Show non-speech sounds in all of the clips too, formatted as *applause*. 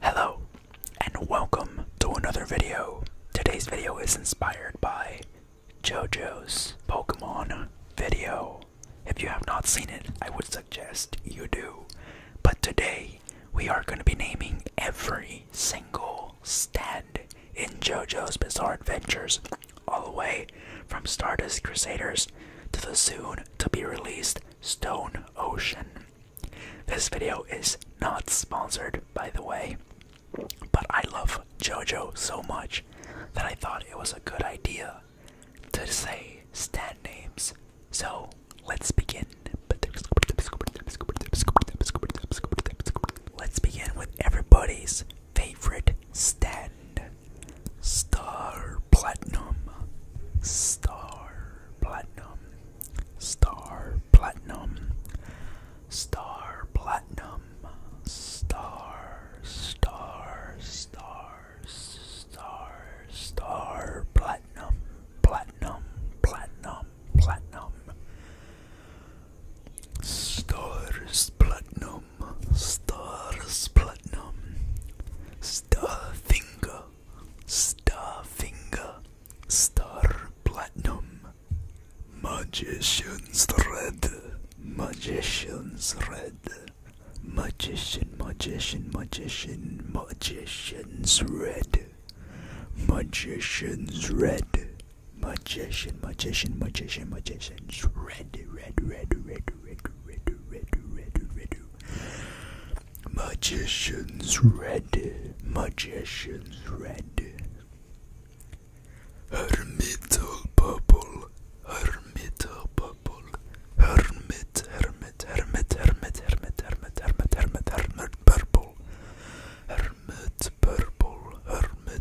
Hello, and welcome to another video. Today's video is inspired by JoJo's Pokemon video. If you have not seen it, I would suggest you do. But today, we are going to be naming every single stand in JoJo's Bizarre Adventures all the way from Stardust Crusaders to the soon to be released Stone Ocean. This video is not sponsored, by the way, but I love JoJo so much that I thought it was a good idea to say stand names. So let's begin. Let's begin with everybody's favorite stand. Star Platinum, Star Platinum, Star Platinum, Star Platinum, Star, Star, Star, Star, Star Platinum, Platinum, Platinum, Platinum. Stars Platinum, Star stars platinum, star finger, star finger, star platinum, magician's red, magician's red, magician, magician, magician, magician's red, magician's red. Magician, magician, magician, magician's red, red, red, red, ready, ready, ready, ready. Magician's ready, magician's ready. Hermital bubble, hermital bubble, hermit, hermit, hermit, hermit, hermit, hermit, hermit, hermit, hermit, purple, hermit, purple, hermit.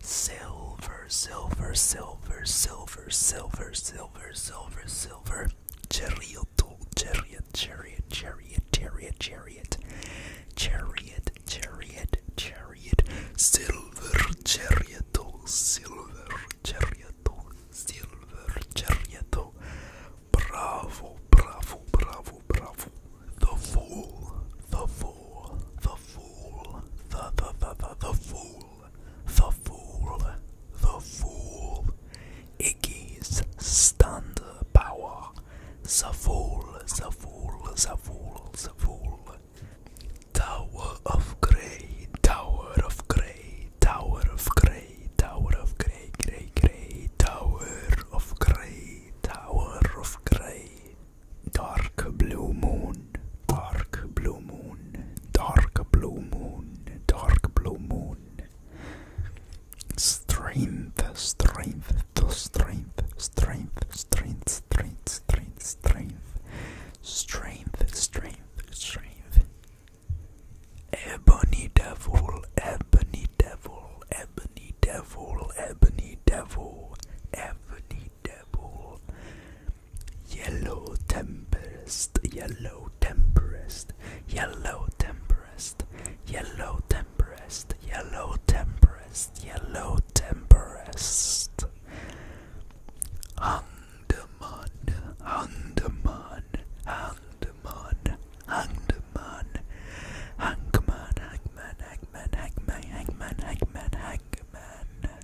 Silver, silver, silver, silver, silver, silver, silver, silver. Chariot, chariot, chariot, chariot, chariot, chariot. Chariot, chariot, chariot. Silver chariot, silver chariot, silver chariot. Bravo, bravo, bravo, bravo. The fool, the fool, the fool, the the the the, the fool the fool, the fool, Iggy's stand power, the fool, the fool, the fool, the fool, Tower of Grey, Tower of Grey, Tower of Grey, Tower of Grey, Grey, Grey, Tower of Grey, Tower of Grey. Dark blue moon, dark blue moon, dark blue moon, dark blue moon. Strength, strength, to strength, strength, strength, strength, strength, strength, strength, strength, strength. Ebony devil, ebony devil, ebony devil, ebony devil, ebony devil. Yellow tempest, yellow tempest, yellow tempest, yellow tempest, yellow tempest, yellow tempest. Andaman, Andaman, Andaman, Andaman, Hangman, Hangman, Hangman, Hangman, Hangman, Hangman, Hangman.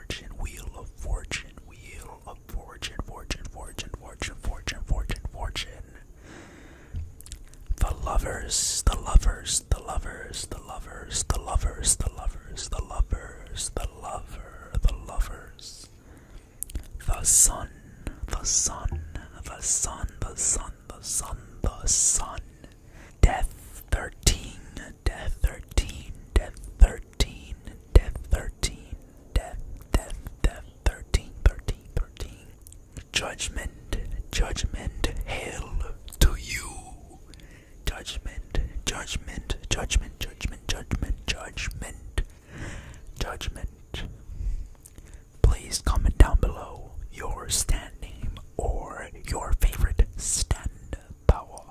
Fortune, Wheel of Fortune, Wheel of Fortune, Fortune, Fortune, Fortune, Fortune, Fortune, Fortune. The lovers, the lovers, the lovers, the lovers, the lovers, the lovers, the lovers, the lover, the lovers. The sun, the sun, the sun, the sun, the sun, the sun. Death thirteen, death 13, death 13, death 13, death, death, death 13, 13, 13. Judgment, judgment, hail to you. Judgment, judgment, judgment, judgment, judgment, judgment, judgment. Please comment down below your stand name or your favorite stand power.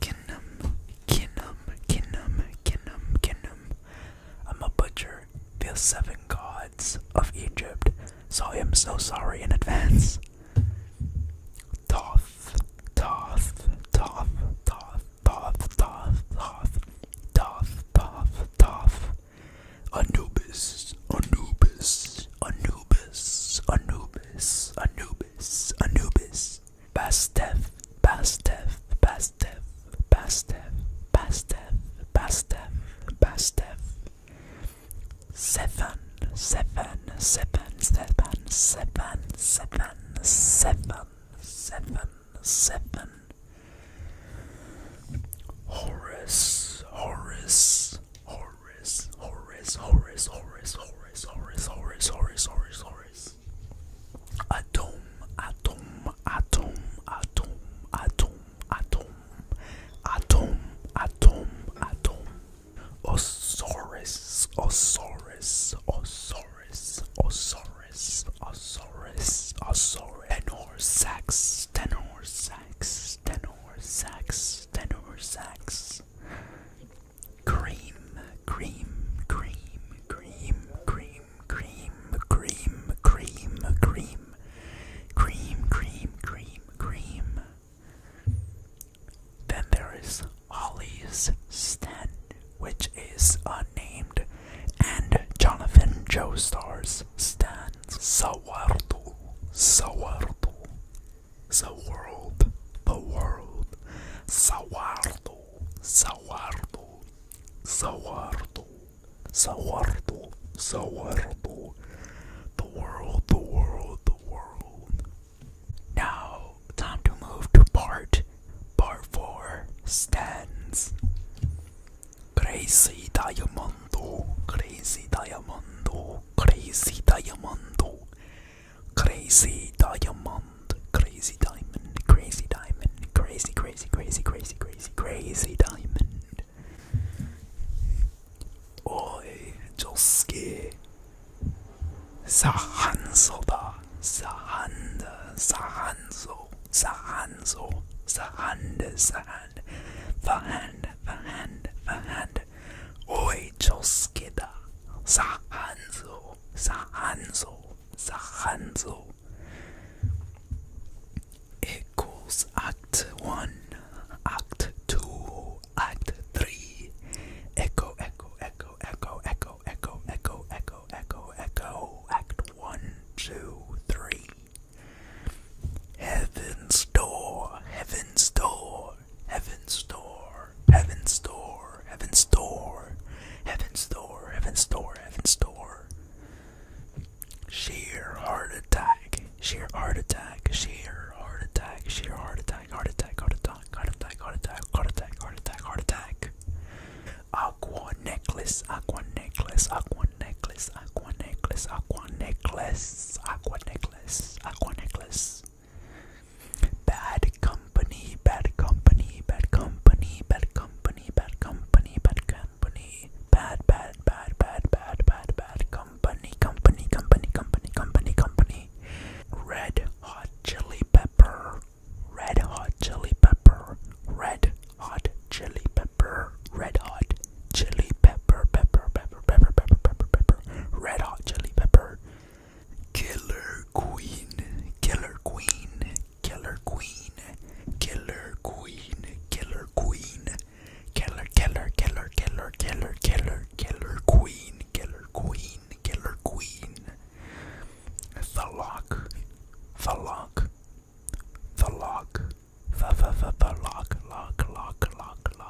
Kinnum, Kinnum, Kinnum, Kinnum, Kinnum. I'm a butcher. The seven gods of Egypt. So I am so sorry in advance. Toth, Toth, Toth, Toth, Toth, Toth, Toth, Toth, Toth, Toth. Anubis, Anubis, Anubis, Anubis, Anubis, Anubis. Bastef, Bastef, Bastef, Bastef, Bastef, Bastef, Bastef. Seven, seven, seven, seven, seven, seven, seven, seven, seven. Horus, Horus, Horus, Horus, Horus, Horus, Horus sorry, sorry, sorry, sorry, sorry. Atom, atom, atom, atom, atom, atom, atom, atom, atom. Osiris, Osiris, Osiris, Osiris, Osiris, Osiris. Tenor sax, tenor sax, tenor sax, tenor sax. Cream, cream, cream, cream, cream, cream, cream, cream, cream, cream, cream, cream, cream. Then there is Ollie's Stand, which is unnamed, and Jonathan Joestar's Stand. Sawardu, Sawardu, the world, the world, Sawardo, Sawardo, Sawardo, Sawardo, Sawardo, the world, the world, the world. Now, time to move to part, part four, stands. Crazy diamond, Crazy diamond, Crazy diamond. Crazy diamond, crazy diamond, crazy diamond, crazy, crazy, crazy, crazy, crazy, crazy diamond. Oi, Josuke. Sahanzo da, Sahanda, Sahanzo, Sahanzo, Sahanda, Sahand, Fahand, Fahand, Fahand, Oi, da, Sahanzo. Sahanzo. Sahanzo. Equals Act 1, Act 2, Act 3. Echo, echo, echo, echo, echo, echo, echo, echo, echo, echo. Act 1, Heaven's door, heaven's door, Heaven's door, heaven's door, heaven's door, heaven's door, heaven's door, heaven's door. Sheer heart attack, sheer heart attack, sheer heart attack, sheer heart attack, heart attack, heart attack, heart attack, heart attack, heart attack, heart attack, heart attack. Aqua necklace, aqua necklace, aqua necklace, aqua necklace, aqua necklace, aqua necklace, aqua necklace. Bad company, bad company, bad company, bad company, bad company, bad company, bad, bad, bad, bad, bad, bad, bad company, company, company, company, company, company. Red hot chili pepper, red hot chili pepper, red hot chili pepper, red hot chili pepper, pepper, pepper, pepper, pepper, pepper, pepper, red hot chili pepper. Killer Queen, Killer Queen, Killer Queen, Killer Queen, Killer Queen, Killer, Killer, Killer, Killer, Killer, Killer, Killer Queen, Killer Queen, Killer Queen. The lock, the lock, the lock, the the the lock, lock, lock, lock,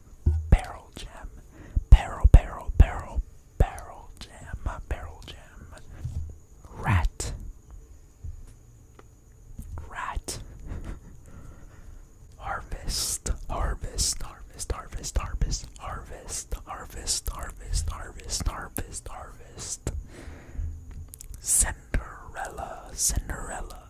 barrel jam, barrel, barrel, barrel, barrel jam, barrel jam, rat, rat, harvest, harvest, harvest, harvest, harvest, harvest, harvest, harvest, harvest, harvest, harvest, Cinderella, Cinderella,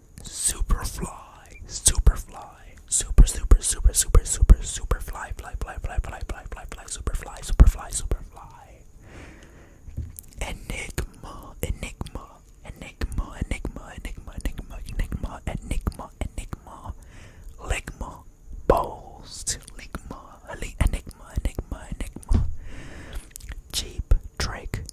Superfly, Superfly, Super, Super, Super, Super, Super, Superfly, Fly, Fly, Fly, Fly, Fly, Fly, Fly, Superfly, Superfly, Superfly. Enigma, Enigma, Enigma, Enigma, Enigma, Enigma, Enigma, Enigma, Enigma, Ligma, Balls, Ligma, Enigma, Enigma, Enigma, Cheap, Drake,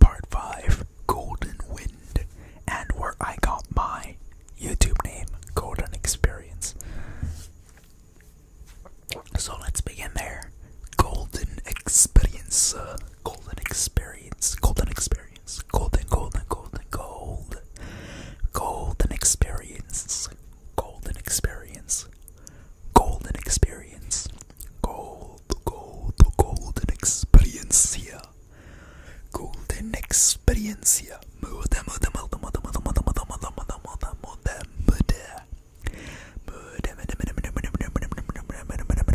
Part 5 Golden Wind, and where I got my YouTube name, Golden Experience. So let's begin there. Golden Experience, uh, Golden Experience, Golden Experience, Golden, Golden, Golden, Gold, Golden Experience, Golden Experience, golden experience. Gold, gold, golden experience here. Golden experience here. Murder, murder, murder, murder, murder, murder, murder, murder, murder, murder, murder, murder. Murder, murder, murder, murder, murder, murder, murder, murder.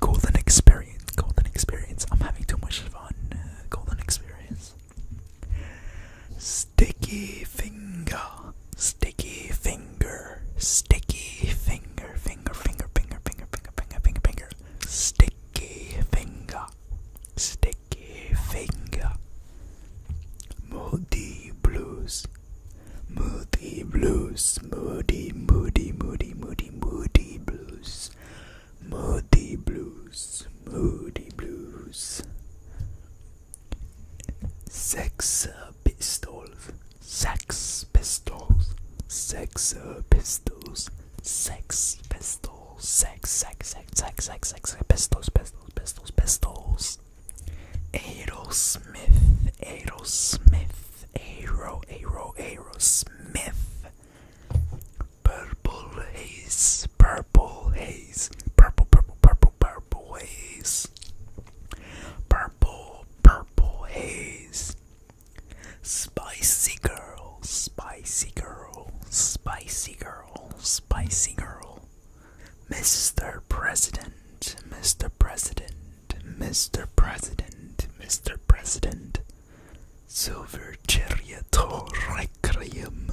Golden experience, golden experience. I'm having too much fun. Golden experience. Sticky finger, sticky finger, sticky finger, finger, finger, finger, finger, finger, finger, finger, finger, sticky finger, sticky finger. Moody blues, moody blues, moody, moody, moody, moody, moody blues, moody blues, moody blues. Sex uh, pistols, sex pistols, sex uh, pistols, sex pistols, sex, sex, sex, sex, sex, sex, pistols, pistols, pistols, pistols. Aerosmith, Aerosmith, Aero, Aero, Aerosmith. Purple haze, purple haze. Purple, purple, purple, purple ways. Purple, purple haze. Spicy girl, spicy girl, spicy girl, spicy girl. Mr. President, Mr. President, Mr. President, Mr. President. Silver Chariot Requiem.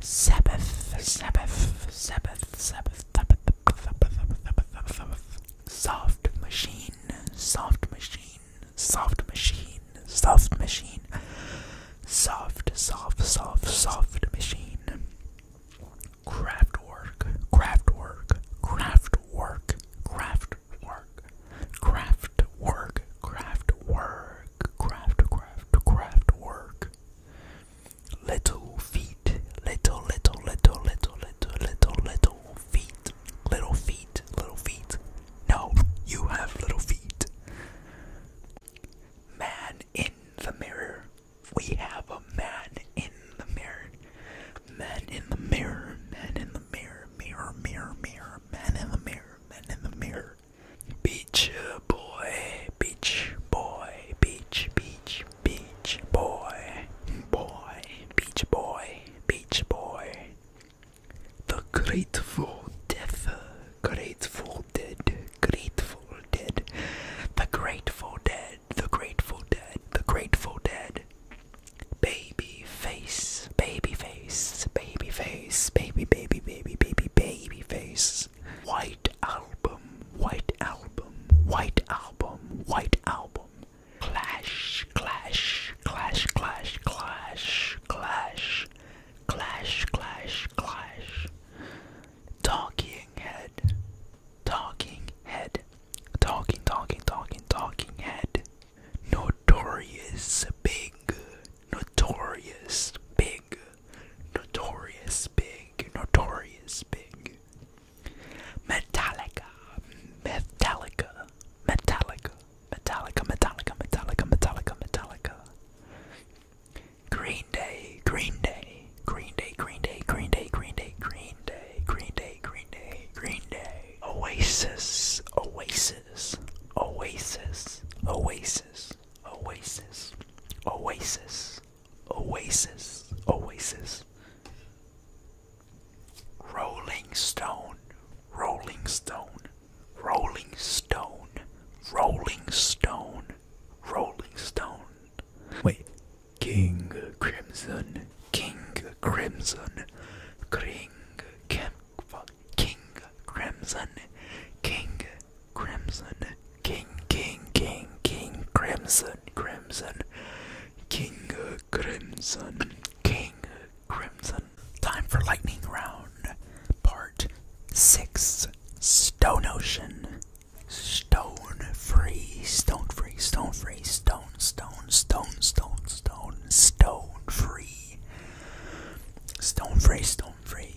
Sabbath, Sabbath, Sabbath, Sabbath, Sabbath, soft machine, soft machine, soft machine, soft machine, soft, soft, soft, soft machine, craft work, craft work, craft work, craft work, craft work, craft work, craft, craft, craft work little feet, little, little, little, little, little, little, little feet, little feet, little feet. No, you have little feet. Man in the mirror. We have a man in the mirror. Man in the mirror, man in the mirror, mirror, mirror, mirror, man in the mirror, man in the mirror. Beach boy, beach boy, beach, beach, beach boy, boy, beach boy, beach boy. The grateful death, grateful dead, grateful dead, the grateful dead, the grateful dead, the grateful dead. Baby face, baby face, baby face, baby, baby, baby, baby, baby face is White Album, White Album, White Album, White Album. Clash, clash, clash, clash, clash, clash, clash, clash, clash. Talking head, talking head, talking, talking, talking, talking head. Notorious big, notorious big big, notorious big, notorious big. Metallica, Metallica, Metallica, Metallica, Metallica, Metallica, Metallica, Metallica. Green Day, Green Day, Green Day, Green Day, Green Day, Green Day, Green Day, Green Day, Green Day, Green Day. Oasis, Oasis, Oasis, Oasis. Oasis. Oasis. Oasis. Oasis. Rolling Stone. Rolling Stone. Rolling Stone. Rolling Stone. Rolling Stone. Wait. King Crimson. King Crimson. King Cam King Crimson. King Crimson, King, King, King, King, Crimson, Crimson, King, Crimson, King, Crimson. Time for lightning round, part six. Stone Ocean, Stone Free, Stone Free, Stone Free, Stone, Stone, Stone, Stone, Stone, Stone Free, Stone Free, Stone Free,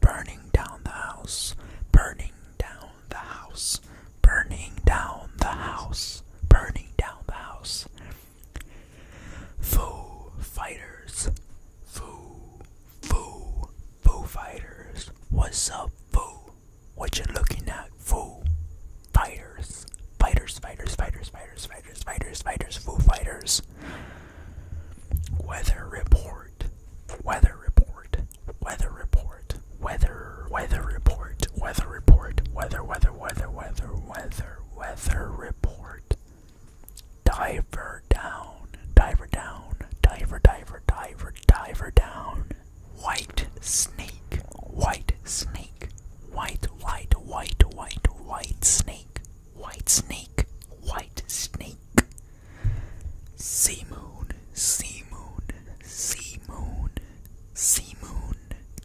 burning down the house, burning down the house, burning down the house, burning down the house. Foo fighters, foo, foo, foo fighters. What's up, foo? What you looking at, foo? Fighters, fighters, fighters, fighters, fighters, fighters, fighters, fighters, foo fighters. fighters Weather report. Weather report. Weather report. Weather. Weather report. Weather report. Weather. Weather. Weather. Weather. Weather. Weather report. Diver down. Diver down. Diver. Diver. Diver. Diver down. White snake. White snake. White. White. White. White. White snake. White Snake, White Snake. Sea Moon, Sea Moon, Sea Moon, Sea Moon,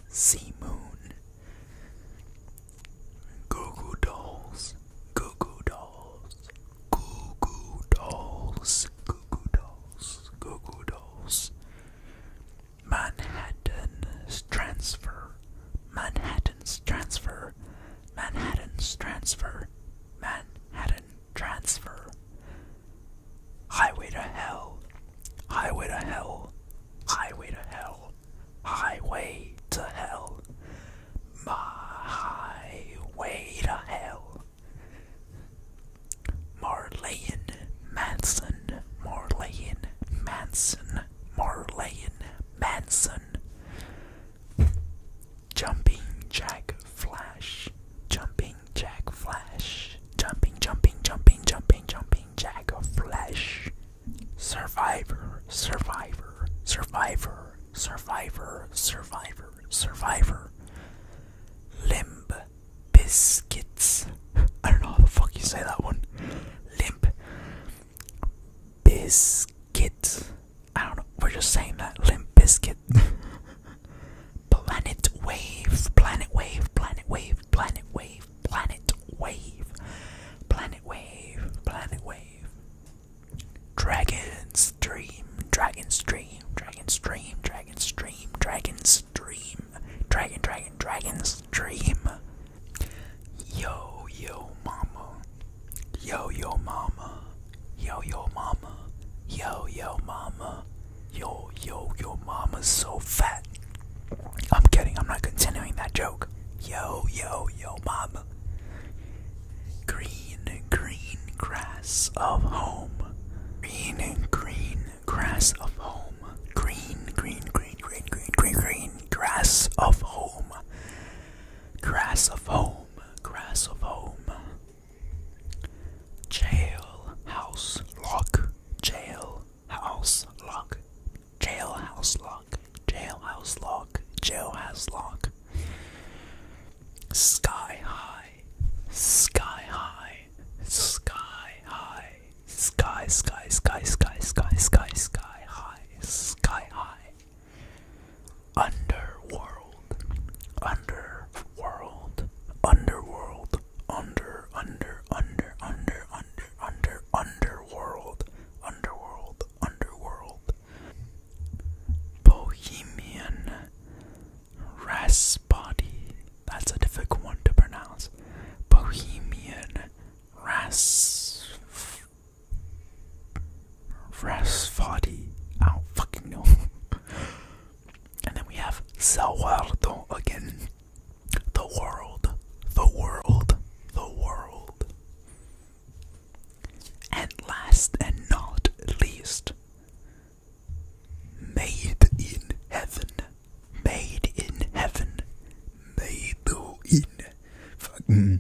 Sea Moon. Goo Goo Dolls, Goo Goo Dolls, Goo Goo Dolls, Goo Goo Dolls, Goo Goo Dolls. Manhattan Transfer, Manhattan. Manhattan's transfer, Manhattan's transfer, Manhattan transfer. Highway to hell, highway to hell, highway to hell, highway to hell, my highway to hell. Marleyan Manson, Marleyan Manson, Marleyan Manson. Jumping Jack Flash. Jumping Jack Flash. Jumping, jumping, jumping, jumping, jumping Jack Flash. Survivor, survivor, survivor, survivor, survivor, survivor. Limb biscuits. I don't know how the fuck you say that one. Limp biscuit. I don't know. We're just saying that Limp Biscuit. *laughs* planet Wave, Planet Wave, Planet Wave, Planet Wave, Planet Wave, Planet Wave, Planet Wave. Dragons dream. Dragons dream. Dragons dream. Dragons dream. Dragon Stream, Dragon, Dragon, Dragon Stream. Yo, yo, mama. Yo yo mama, yo yo mama, yo yo mama, yo yo yo mama's so fat. I'm kidding, I'm not continuing that joke. Yo yo yo mama. Green, green grass of home. Green, green grass of home. Green, green, green, green, green, green, green grass of home. Grass of home, grass of home. Jail, house, lock, jail, house, lock, jail, house, lock, jail, house, lock, jail, house, lock. Sky high, sky high, sky high, sky, sky, sky, sky, sky, sky, sky high, sky high. Underworld, underworld, underworld, under, under, under, under, under, under, underworld, underworld, underworld. Bohemian Rasbody. That's a difficult one to pronounce. Bohemian Ras Rasfati. I don't fucking know. and then we have Salvardo again. The world. The world. The world. And last and not least, made in heaven. Made in heaven. Made in. Fuck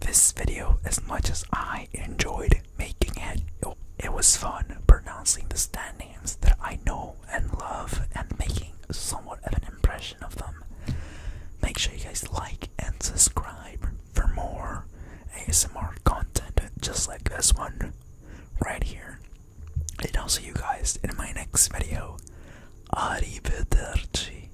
this video as much as I enjoyed making it. It, was fun pronouncing the Stan names that I know and love and making somewhat of an impression of them. Make sure you guys like and subscribe for more ASMR content just like this one right here. And I'll see you guys in my next video. Arrivederci.